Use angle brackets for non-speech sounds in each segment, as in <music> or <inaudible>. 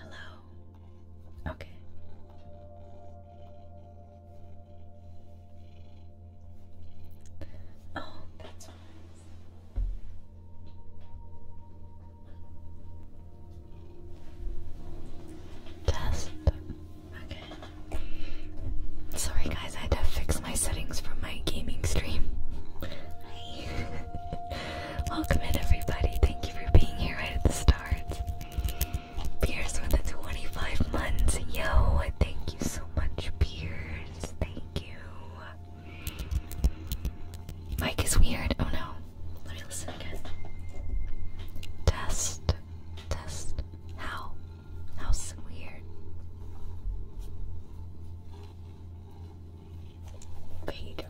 Hello. Okay. Oh, that's nice. Test. Okay. Sorry, guys, I had to fix my settings from my gaming stream. <laughs> Welcome in, everybody. Thank you for being here right at the start stars. Pierce with the 25 months. Yo, thank you so much, Pierce. Thank you. Mike is weird. Oh no. Let me listen again. Test. Test. How? How's weird? Vader.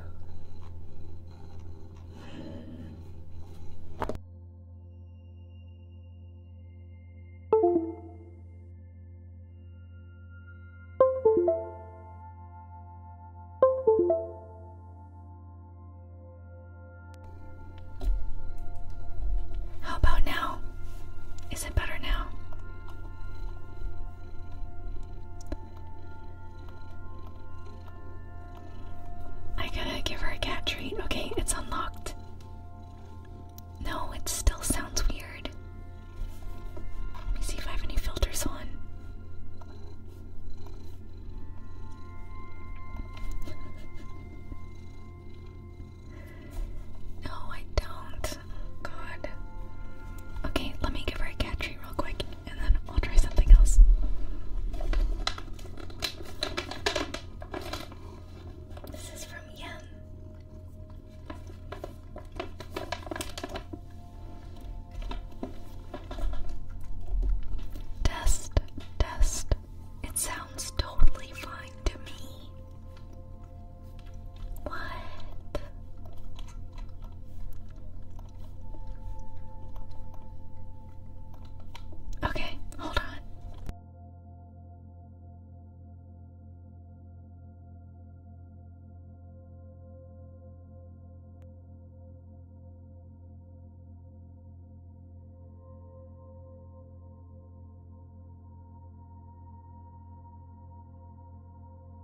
How about now? Is it better now? I gotta give her a cat treat. Okay, it's unlocked. No, it still sounds weird. Let me see if I have any filters on. <laughs> no, I don't. God. Okay, let me give her a cat treat real quick and then I'll try something else. This is from Yum. Test, test. It sounds totally fine to me. What? Okay, hold on.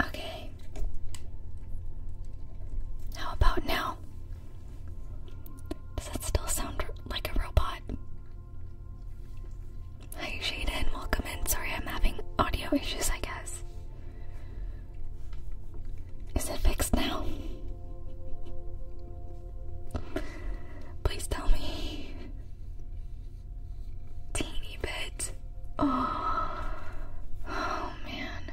Okay. How about now? Does that still sound like a robot? Hi Shaden, welcome in. Sorry I'm having audio issues, I guess. Is it fixed now? Please tell me. Teeny bit. Oh, oh man.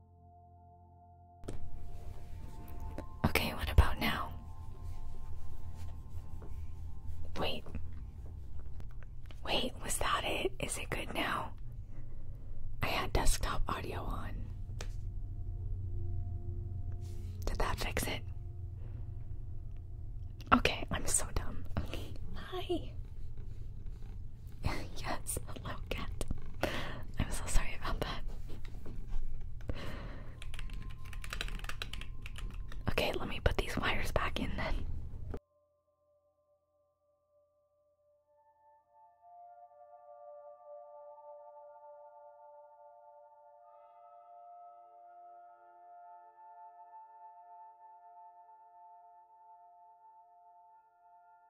Okay, what about now? Wait. Wait, was that it? Is it good now? I had desktop audio on. Did that fix it? Okay, I'm so dumb. Okay. Hi. <laughs> yes, hello cat. I'm so sorry about that. Okay, let me put these wires back in then.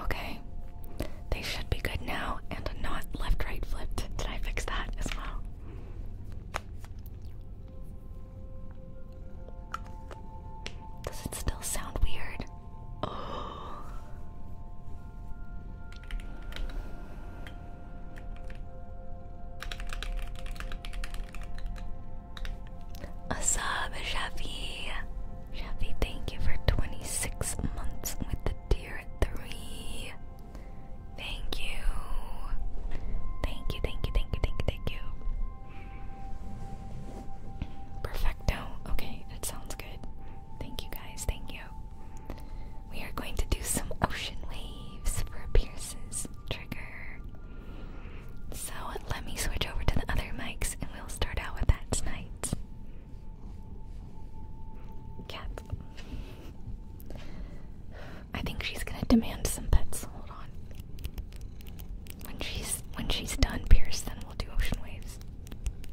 Okay, they should be good now and not left right flipped. Did I fix that as well? Does it still sound weird? Oh. <gasps> What's Shafi? Shafi, thank you for 26 months with the tier 3. Thank you. Thank you, thank you, thank you, thank you, thank you. Perfecto. Okay, that sounds good. Thank you guys, thank you. We are going to do some ocean waves for Pierce's trigger. So let me switch over to the other mics and we'll start out with that tonight. Cat. I think she's gonna demand some pets. Hold on. When she's when she's done, we will do ocean waves.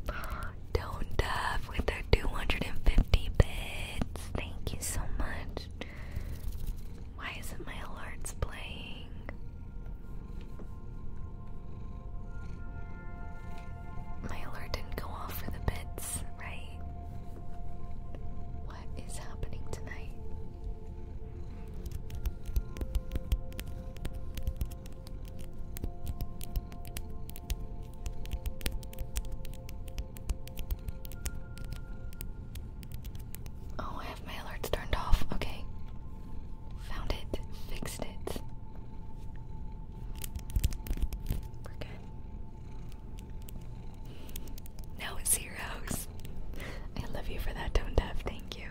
<gasps> Don't Duff with their 250 bits. Thank you so much. Why isn't my alerts playing? My alert didn't go off for the bits, right? What is happening tonight? Oh, I have my alerts turned off. Okay. Found it. Fixed it. We're good. Now it's zeros. I love you for that, Tone Deaf. Thank you.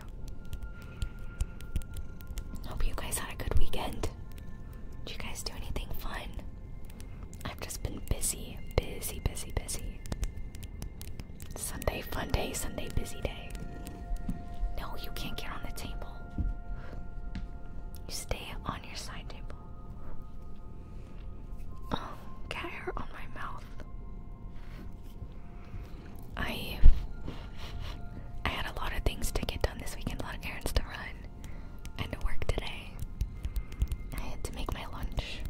Hope you guys had a good weekend. Did you guys do anything fun? I've just been busy, busy, busy, busy. Sunday fun day, Sunday busy day. No, you can't get on the table. You stay on your side table. Oh, cat hair on my mouth. I I had a lot of things to get done this weekend, a lot of errands to run, and to work today. I had to make my lunch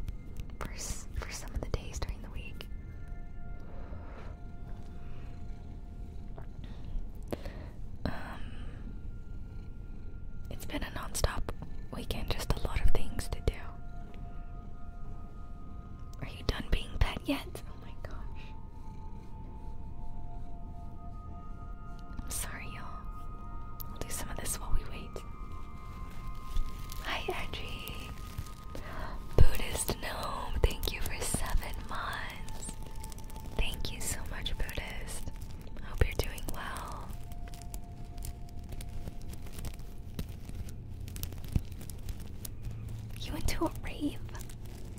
for for some of the days during the week. Um, it's been a non-stop weekend, just a lot of things to do. Are you done being pet yet? Oh my gosh. I'm sorry, y'all. I'll do some of this while we wait. Hi, Edgy. Buddhist Gnome, thank you for seven months. Thank you so much, Buddhist. Hope you're doing well. You into a rave?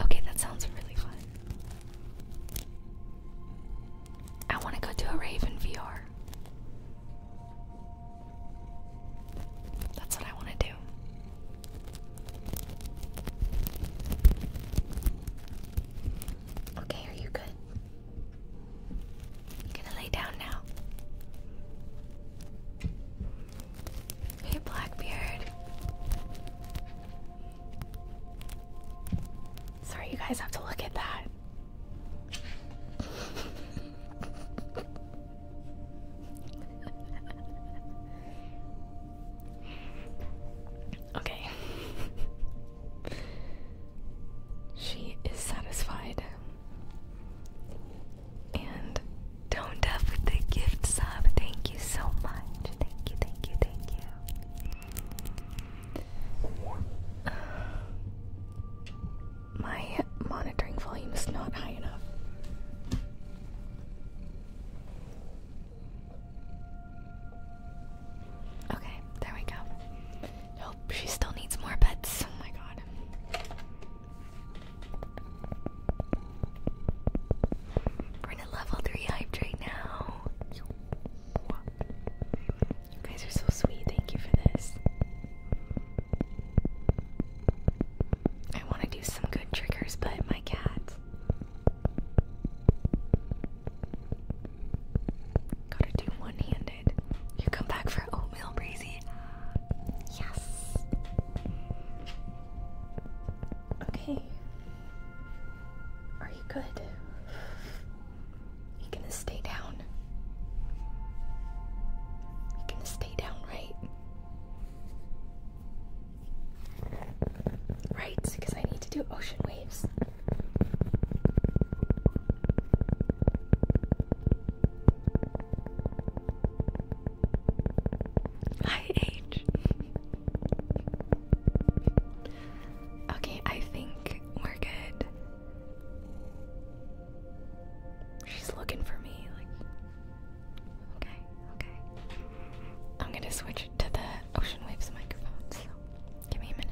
Okay, that sounds really fun. I want to go to a rave in VR. That's what I want to do. Okay, are you good? I'm gonna lay down now. Hey, Blackbeard. Sorry, you guys have to look at that. okay. she is satisfied. And toned up the gift sub. Thank you so much. Thank you, thank you, thank you. Uh, my monitoring volume is not high enough. Okay, there we go. Nope, she still needs more beds. Oh my god. We're in level 3 hype right now. You guys are so sweet. Thank you for this. I want to do some good triggers, but my cat gotta do one hand you come back for oatmeal, Breezy. Yes. Okay. Are you good? You gonna stay down? You gonna stay down, right? Right, because I need to do ocean waves. Hi, H. okay, I think we're good. She's looking for me, like. Okay, okay. I'm gonna switch to the Ocean Waves microphones. give me a minute.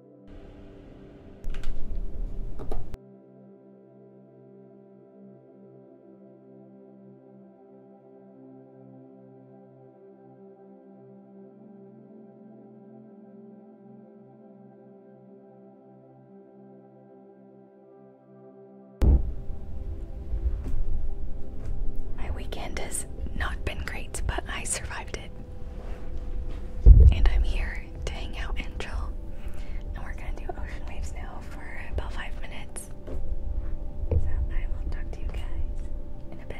My weekend has not been great, but I survived and I'm here to hang out and chill. And we're gonna do ocean waves now for about five minutes. So I will talk to you guys in a bit.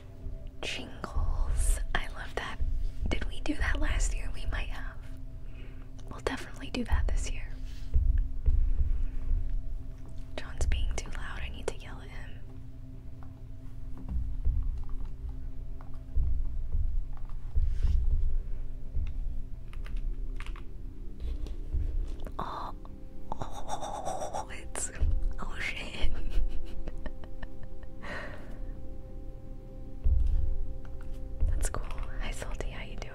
Jingles. I love that. Did we do that last year? We might have. We'll definitely do that this year. John's being too loud. I need to yell at him. Oh, <laughs> Oh shit. That's cool. Hi Salty, how you doing?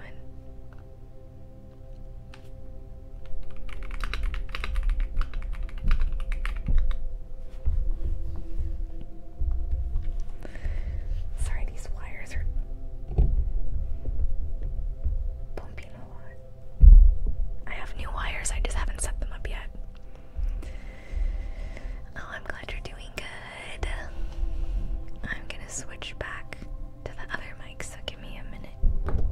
Sorry, these wires are bumping a lot. I have new wires, I just haven't set them up yet. Oh, I'm glad you're doing good. I'm gonna switch back to the other mic, so give me a minute.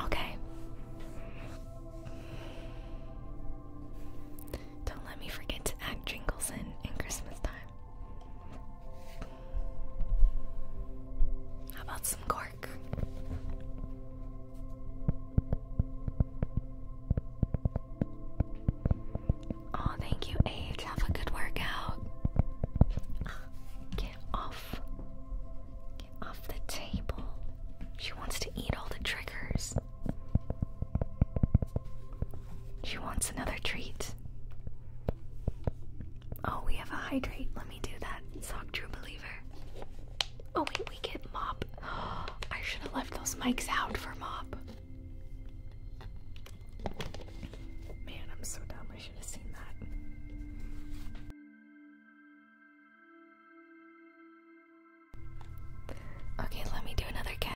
Okay. Don't let me forget to add jingles in in Christmas time. How about some cork? Oh, thank you, Age. Have a good workout. Get off. Get off the table. She wants to eat all the triggers. She wants another treat. Oh, we have a hydrate. Let me do that. Sock True Believer. Oh, wait, we get mop. <gasps> I should have left those mics out for mop. Man, I'm so dumb. I should have seen that. Okay, let me do another cat